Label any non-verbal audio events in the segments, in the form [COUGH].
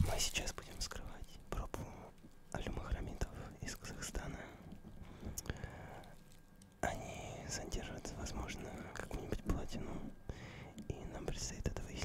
Мы сейчас будем вскрывать пробу алюмохромитов из Казахстана. Они содержат, возможно, какую-нибудь платину, и нам предстоит это выяснить.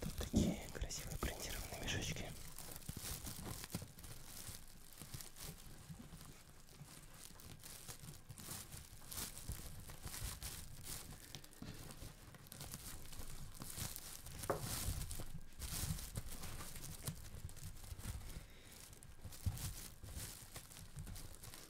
Тут такие красивые принтированные мешочки.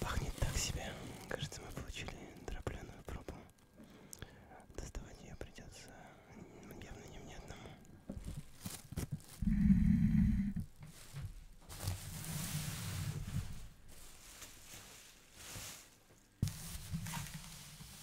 Пахнет так себе. Кажется, мы получили дропленую пробу. Доставать ее придется явно не мне одному.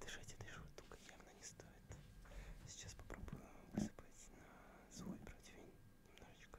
Дышать этой штукой явно не стоит. Сейчас попробую высыпать на свой противень немножечко.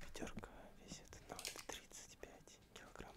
Ведерко весит на вот 35 килограмм.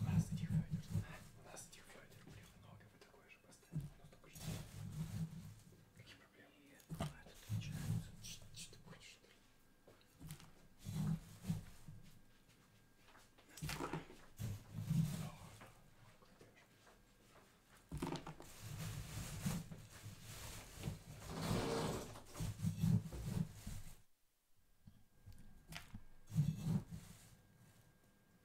У нас этих флайтер. У нас этих флайтер, блин, много. Вы такое же поставили. У нас только же. Какие проблемы? А, это начинается. Что ты хочешь? Ой,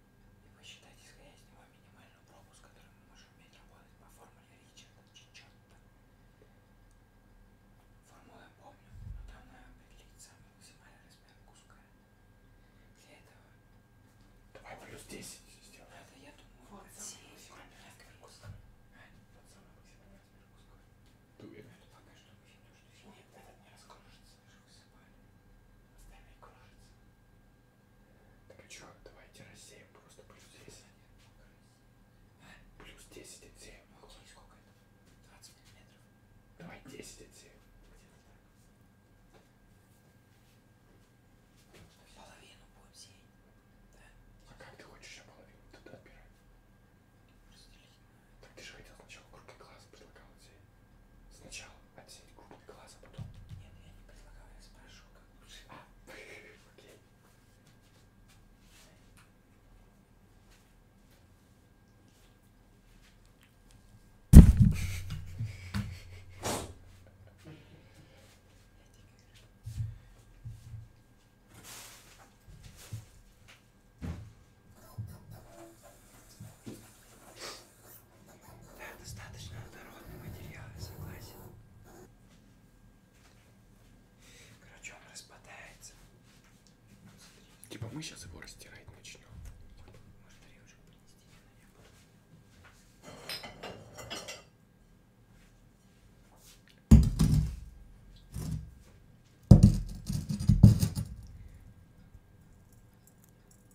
и посчитать, исходя из него, минимальную пробу, с которой мы можем уметь работать по формуле Ричарда Чичотта. Формулу я помню, но там надо определить самый максимальный размер куска. Для этого... Давай плюс 10 сделаем. Ну, это я думаю, вот это самый максимальный размер куска. А? Вот самый максимальный размер куска. Ты уверен? Это пока что мы видим, что Нет, этот не раскружится. Остальные кружатся. Так и что, давайте рассеем просто плюс 10. Плюс 10 отсеем. Сколько это? 20 миллиметров. Давай 10 отсеем. Половину будем сеять. Да? А как ты хочешь еще половину туда отбирать? Разделить. Так ты же хотел сначала круглый глаз предлагал сеять. Сначала отсеять крупный глаз, а потом... Нет, я не предлагаю, я спрашиваю, как лучше. А, [LAUGHS] окей. Да, достаточно однородный материал, я согласен. Короче, он распадается. Типа мы сейчас его растирать начнем. Может, режу принести, я на нем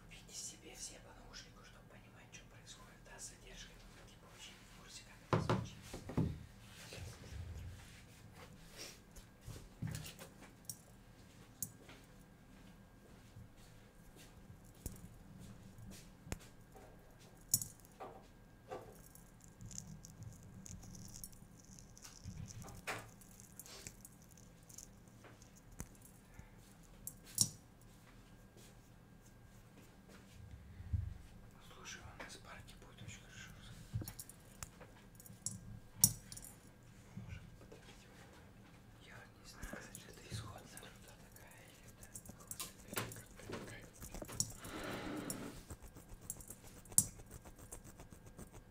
Купите себе все по наушнику, чтобы понимать, что происходит, да, с задержкой, но ну, вы типа очень в курсе, как это звучит. Слушай, у нас парки будет очень хорошо Может, Я не знаю, это исходная труда такая или это такая.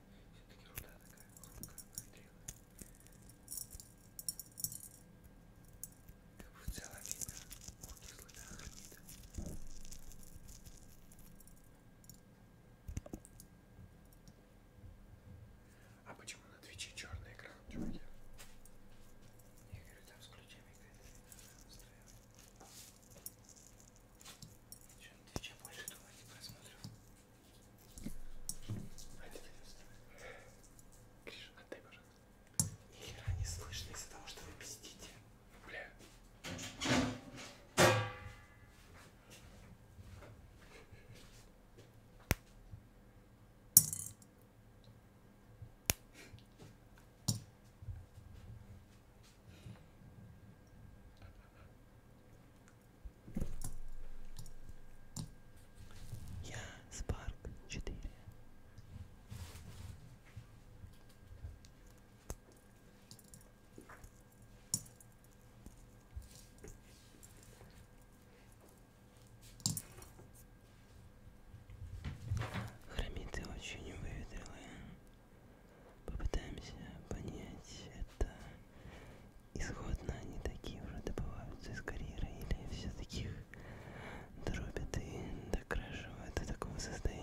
Все-таки руда такая хрупкая, нагрелая. Как бы в целом видно окислый хромита. А почему на Твиче черный экран, чуваки? Я говорю, там с ключами какая-то Че, ты че больше думаете просмотров? Гриша, отдай, пожалуйста. Ни хера не слышно из-за того, что вы пиздите. Бля. Я Спарк 4. Хромиты очень выветрилые. Попытаемся понять это исходно они такие уже добываются из карьеры или все-таки их дробят и докрашивают до такого состояния.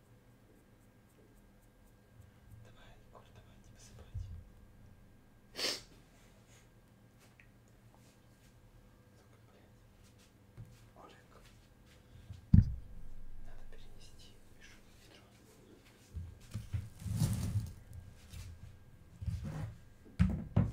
Давай, Егор, давай, тебе спать. Сука, блядь. Олег. Надо перенести Мишу в ведро. Ой,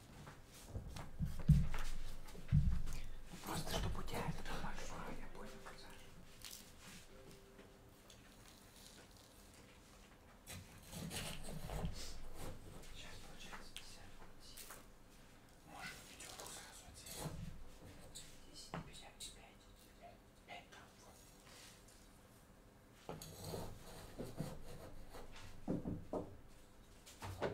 Просто чтобы у тебя это было большое, я понял, Сейчас получается 50. Может, пятерку сразу отсеять. 10, 55, 5 там, вот.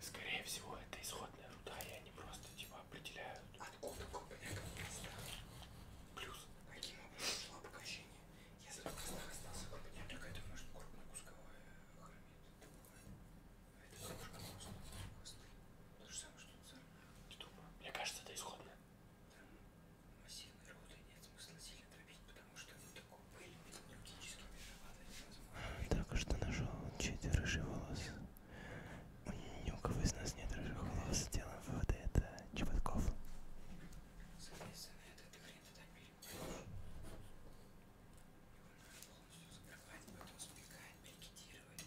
Скорее всего, это исходная руда, и они просто типа определяют. Откуда Купняк места? Плюс. Каким образом шло обогащение? Если в костах остался Купняк, так это может крупнокусковая хромит. Это кружка просто косты. То же самое, что Ты думаю, мне кажется, это исходно. Там массивной руды нет смысла сильно тропить, потому что вот такую пыль логически не Так а что нашел чей-то рыжий волос. Ни у кого из нас нет рыжих волос. Делаем выводы, это Чеботков. Соответственно, этот хрен туда перепадет. Его надо полностью закрывать, потом спекать, пикетировать.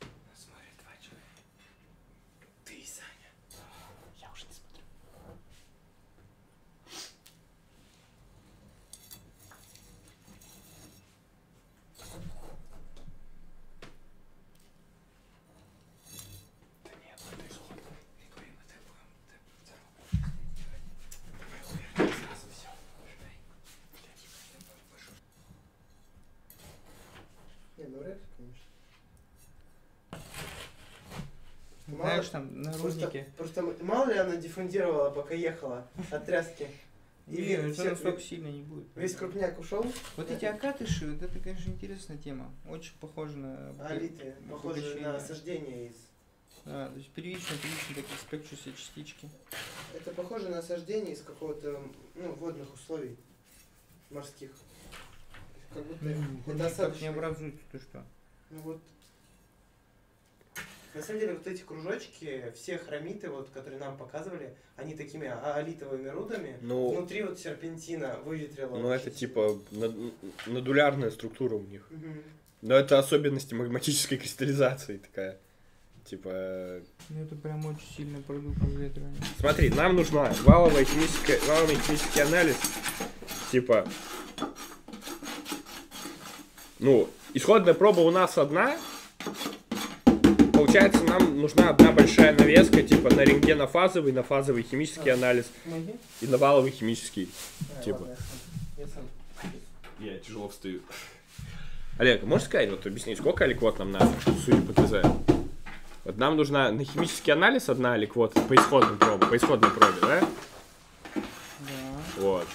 Нас смотрят два человека. Ты и Саня. Я уже не смотрю. Да нет, ну ты жлоб. Рекой мы так будем, так будем здоровы. Давай увернем сразу все. Ждай. Блядь, я пошел. Не, навряд ну ли, конечно. Ну, мало, Знаешь, там наручники. Просто, просто мало ли она диффундировала, пока ехала от тряски. И Нет, ну, все, настолько сильно не будет. Весь крупняк ушел. Вот эти акатыши, вот это, конечно, интересная тема. Очень похоже на... Алиты, похоже на осаждение из... А, то есть первично, первично такие спекчусы частички. Это похоже на осаждение из какого-то ну, водных условий морских. Как будто ну, достаточно. не образуется, ты что? Ну вот. На самом деле вот эти кружочки, все хромиты, вот, которые нам показывали, они такими аолитовыми рудами. Ну, Внутри вот серпентина выветрила. Ну это типа надулярная структура у них. Угу. Но это особенности магматической кристаллизации такая. Типа блин. Ну это прям очень сильно продукт выветривания. Смотри, нам нужна валовая химическая, валовый химический анализ. Типа, ну, исходная проба у нас одна. Получается, нам нужна одна большая навеска, типа на рентгенофазовый, на фазовый химический а, анализ Помоги. и на валовый химический. А, типа. Ладно, я, сам. я, сам. я тяжело встаю. Олег, можешь сказать, вот объяснить, сколько аликвот нам надо, судя по ТЗ? Вот нам нужна на химический анализ одна или квота по исходной пробе, по исходной пробе, да? Да. Вот.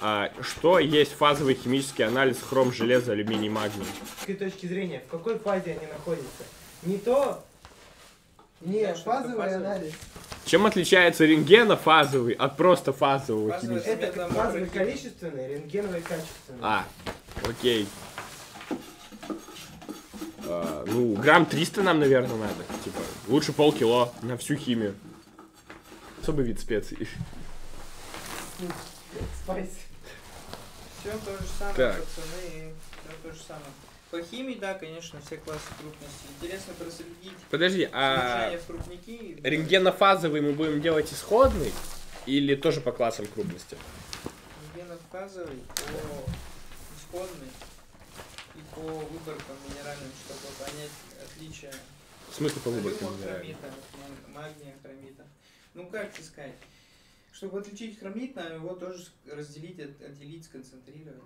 А, что есть фазовый химический анализ хром, железа, алюминий, магний? С точки зрения, в какой фазе они находятся? Не то... Не, да, фазовый, фазовый анализ. Чем отличается рентгена фазовый от просто фазового фазовый химического? Это фазовый количественный, рентгеновый качественный. А, Окей. А, ну, грамм 300 нам, наверное, надо. Типа, лучше полкило на всю химию. Особый вид специй. Спайс. Все то же самое, так. пацаны, все то же самое. По химии, да, конечно, все классы крупности. Интересно проследить. Подожди, а крупники, рентгенофазовый мы будем делать исходный или тоже по классам крупности? где наказывай по исходной и по выборкам минеральным, чтобы понять отличие. В смысле по выборкам минеральным? магния, хромита. Ну как искать? Чтобы отличить хромит, надо его тоже разделить, отделить, сконцентрировать.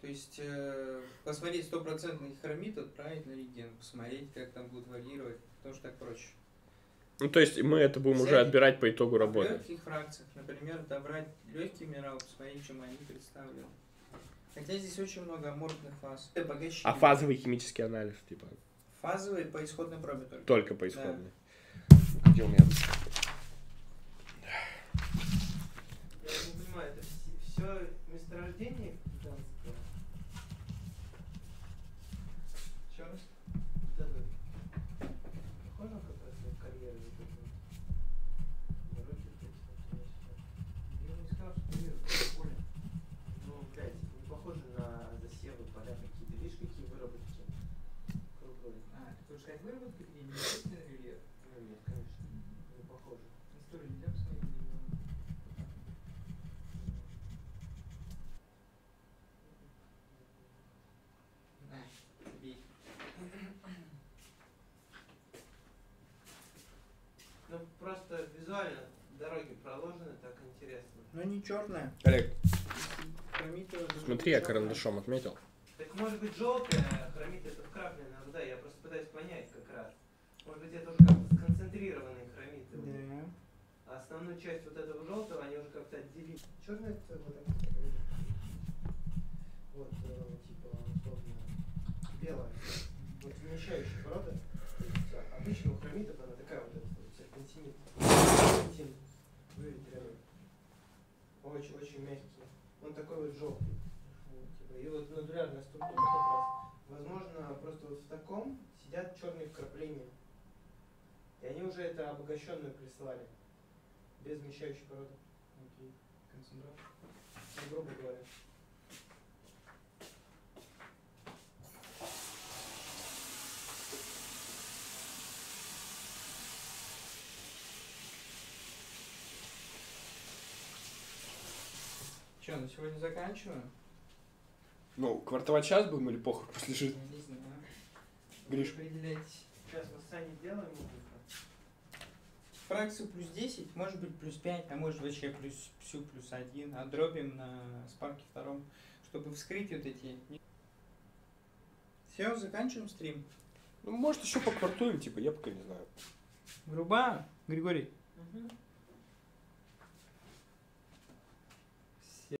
То есть э, посмотреть стопроцентный хромит, отправить на реген, посмотреть, как там будут варьировать, потому что так проще. Ну, то есть мы это будем Цель. уже отбирать по итогу работы. В легких фракциях, например, добрать легкий минерал, посмотреть, чем они представлены. Хотя здесь очень много аморфных фаз. А фазовый химический анализ, типа? Фазовый по исходной проме только. Только по исходной. Да. Где у меня Я не понимаю, это все месторождение гигантское? В чем вот этот, похоже, как раз на карьеру вот этот, дороги туда-сюда. Я не сказал, что мир более. Ну, блядь, не похоже на засевы, поля какие-то. Видишь, какие выработки круглые. А, ты хочешь сказать выработки, где не естественный рельеф? Ну, нет, конечно, не похоже. Историю нельзя посмотреть, này bị ну просто визуально дороги проложены так интересно но не черная Олег хромитовая смотри я карандашом отметил так может быть желтая хромит это вкрапленная вода я просто пытаюсь понять как раз может быть это уже как-то сконцентрированные хромиты да а основную часть вот этого желтого они уже как-то отделили. Черный это вот так э, вот, типа, условно, белая, вот вмещающая порода, то есть обычно у хромитов она такая вот, вот серпентинит, серпентин, выветренный, очень-очень мягкий, он такой вот желтый, вот, типа, и вот нодулярная структура как раз, возможно, просто вот в таком сидят черные вкрапления, и они уже это обогащенную прислали, без вмещающей породы. Окей. Okay. Концентрат? Ну, грубо говоря. Че, на сегодня заканчиваем? Ну, квартовать час будем или похуй, [LAUGHS] пусть лежит? Я не знаю. Гриш. Сейчас мы сами делаем фракцию плюс 10, может быть плюс 5, а может вообще плюс всю плюс 1, а дробим на спарке втором, чтобы вскрыть вот эти. Все, заканчиваем стрим. Ну, может, еще поквартуем, типа, я пока не знаю. Груба, Григорий. Угу.